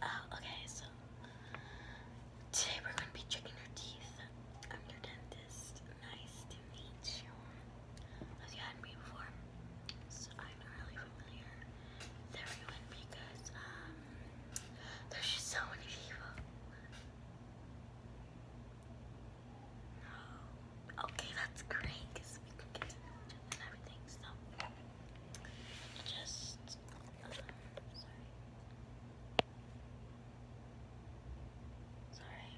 Uh, okay, so today we're going to be checking your teeth. I'm your dentist. Nice to meet you. Have you had me before? I'm not really familiar everyone because um, there's just so many people. Oh, okay, that's great because we can get everything. So just sorry. Sorry.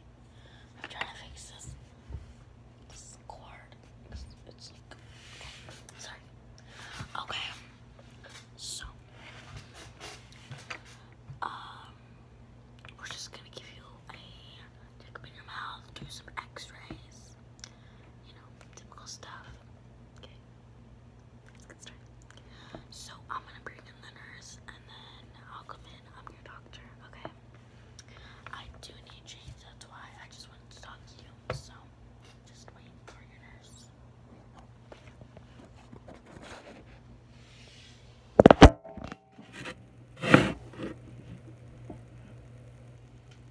I'm trying to fix this cord. It's, like Sorry. Okay. So um we're just gonna give you a take up in your mouth, do some x-rays you know, typical stuff. Okay, let's get started. So I'm gonna bring in the nurse, and then I'll come in. I'm your doctor, okay? I do need change. That's why I just wanted to talk to you. So just wait for your nurse.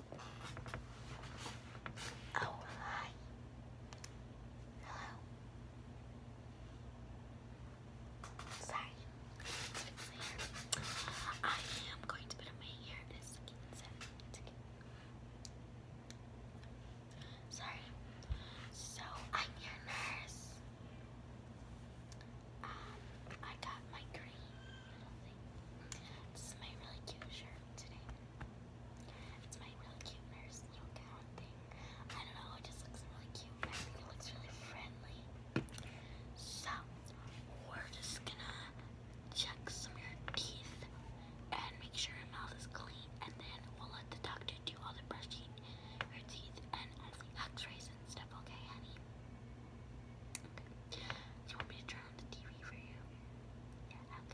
Oh, hi. Sorry. I am going to put on my hair in a second. Sorry. So, I'm your nurse. Um, I got my green little thing. This is my really cute shirt. It's my really cute nurse little gown thing. I don't know, it just looks really cute. I think it looks really friendly. So, we're just gonna check some of your teeth and make sure your mouth is clean, and then we'll let the doctor do all the brushing your teeth and all the x-rays and stuff, okay, honey? you want me to turn on the TV for you? Yeah,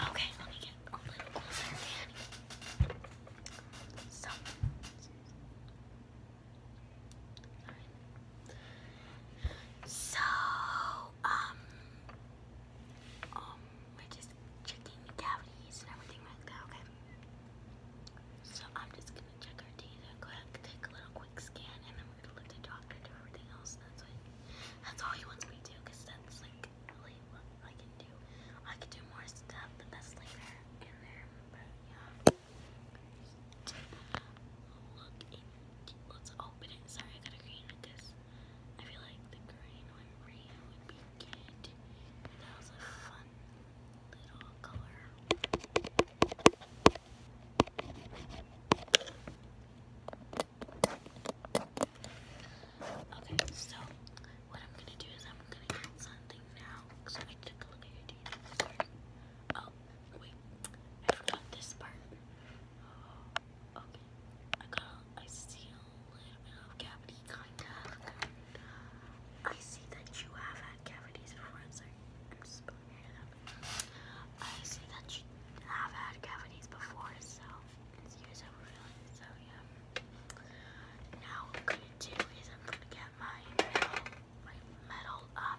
Okay, let me get a little closer, So, so, um, um, we're just checking cavities and everything like that, okay? So I'm just gonna check our teeth real quick, take a little quick scan, and then we're gonna let the doctor do everything else. That's all he wants me to cause that's like really what I can do. I could do more stuff, but that's later in there. yeah, let's open it. Sorry I got a green because I feel like the green one green would be good. That was a fun little color. Okay, so what I'm gonna do is I'm gonna get something now. So I took a look at your teeth. Oh wait, I forgot this part. Okay, I got, I see a little kind of. I see that you have had cavities before. I'm I'm just pulling your up. I see that you have had cavities before, so it's years overfilling. So yeah. Now what I'm gonna do is I'm gonna get my metal, my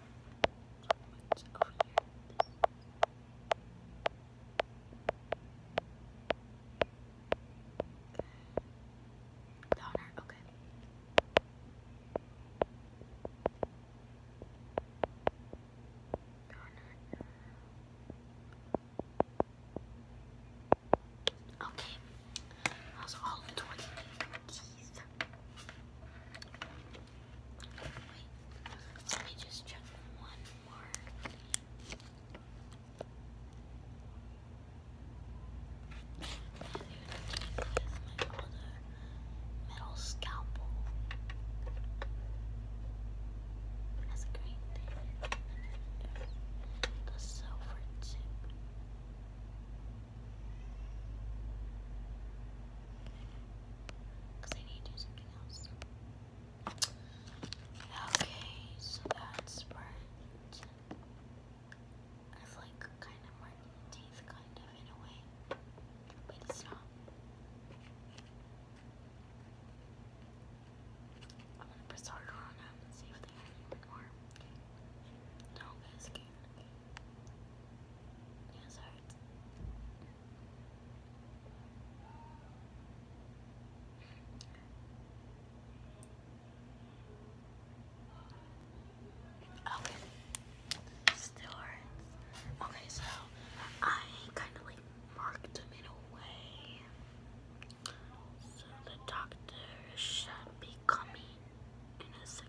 What's over here? Donner, okay. Donner. Okay. That all 20 let me just check one more. metal scalpel. That's a great thing. The silver tip. Because I need to do something else. Okay, so that's burnt. It's like kind of marking the teeth, kind of in a way. But it's I'm gonna press harder on them see if they hurt even more. No, guys, Yes, hurts. Okay. Still Okay, so I kind of like marked them in a way. So the doctor should be coming in a second.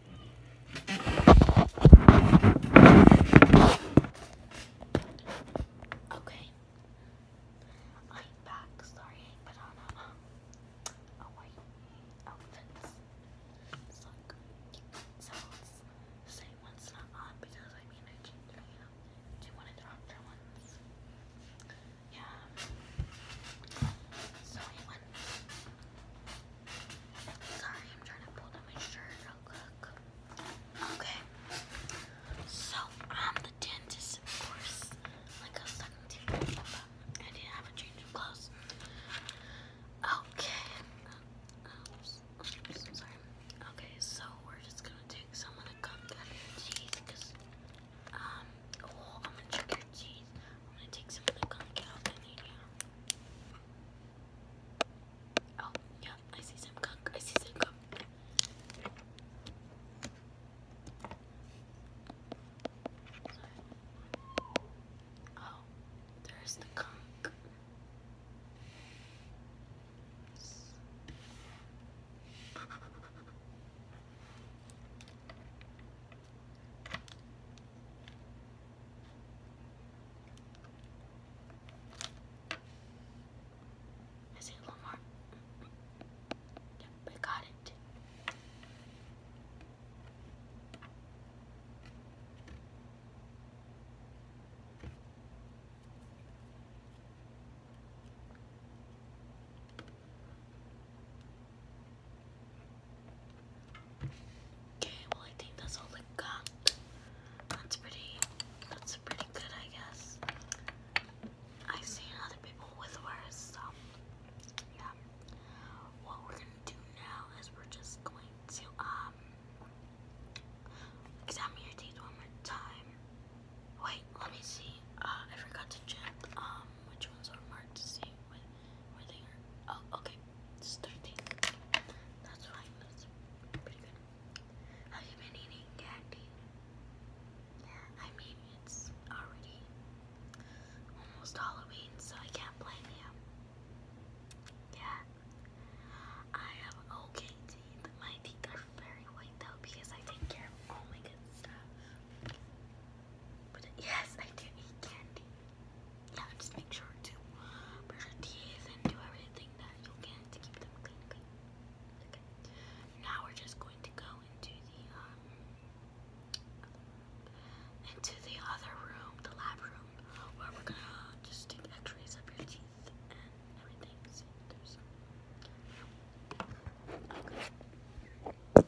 Okay. I'm back. Sorry, I a, white outfit. It's not good. one's not on because I mean I changed my one of the doctor ones. Yeah. So Sorry, I'm trying to pull down my shirt. Okay. So I'm the dentist, of course. Like a was talking I need to have a change of clothes. Okay. Okay, so we're just gonna take some of the cup out um, oh, I'm gonna check your teeth. I'm gonna take some of the gunk out and yeah. Oh, yeah, I see some gunk. I see some gunk. Oh, there's the gunk. Is it a Yep, we got it. Okay, well I think that's all I got. That's pretty that's pretty good I guess. I've seen other people with worse, so yeah. What we're gonna do now is we're just going to um examine your teeth one more time. Wait, let me see. Uh I forgot to check um which ones are marked to see with Oh, okay. It's 13. That's fine. That's pretty good. Have you been eating candy? Yeah, I mean, it's already almost Halloween, so I can't blame you. Yeah. I have okay teeth. My teeth are very white though because I take care of all my good stuff. But yes, I do eat candy yeah, just make sure to brush your teeth and do everything that you can to keep them clean, Now we're just going to go into the um into the other room, the lab room, where we're gonna just take X-rays of your teeth and everything. See if there's okay. Okay.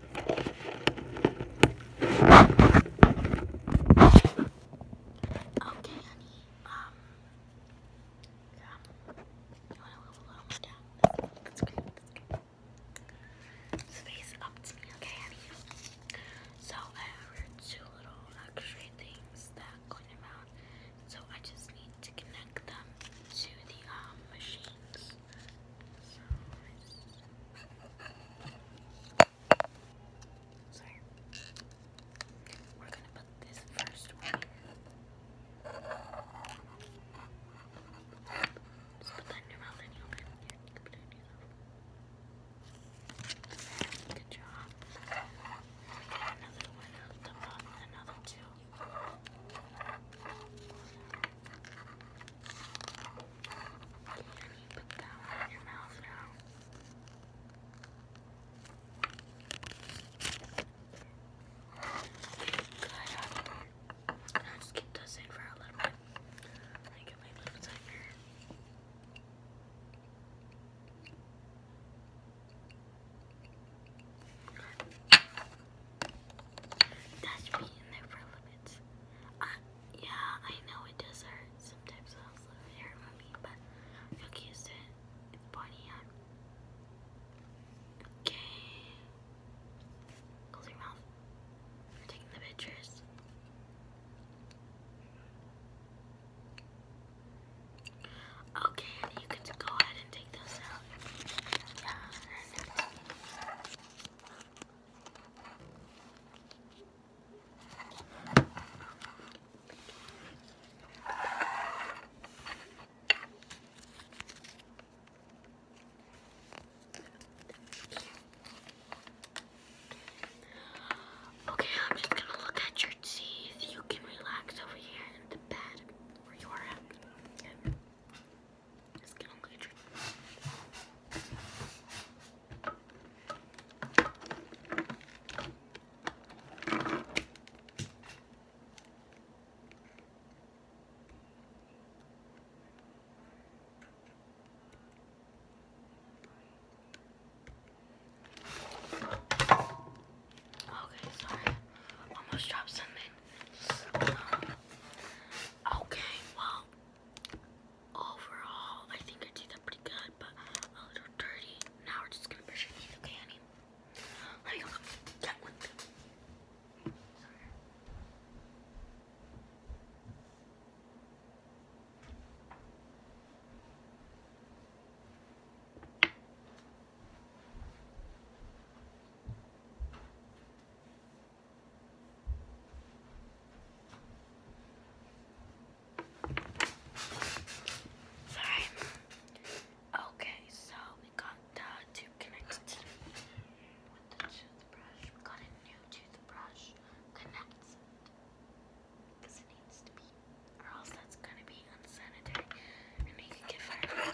Okay, honey. Um, um you want a little That's great. Space up to me, okay, honey. So I ordered two little luxury things that couldn't amount. So I just need to connect them to the um, machines. Sorry. We're gonna put this first put that in your mouth and you'll be here. Good job. another one out the bottom, another two. Can you put that in your mouth now? i just keep this in for a little bit. Let me get my little timer. That should be in there for a little bit it. Uh, yeah, I know it does hurt. Sometimes it also for me, but I feel used to it. It's pointy out. Um, okay. Close your mouth. are taking the pictures. Okay, you can go ahead and take those out. Okay, I'm just gonna look at your teeth. You can relax over here in the bed where you are at. Let's get on the train. Okay, sorry. Almost dropped something. Um, okay, well, overall, I think your teeth are pretty good, but a little dirty. Now we're just gonna brush your teeth, okay, honey? Let me go get one Sorry. Okay, so we got the tube connected got a new toothbrush connected because it needs to be, or else that's gonna be unsanitary, and you can get fired.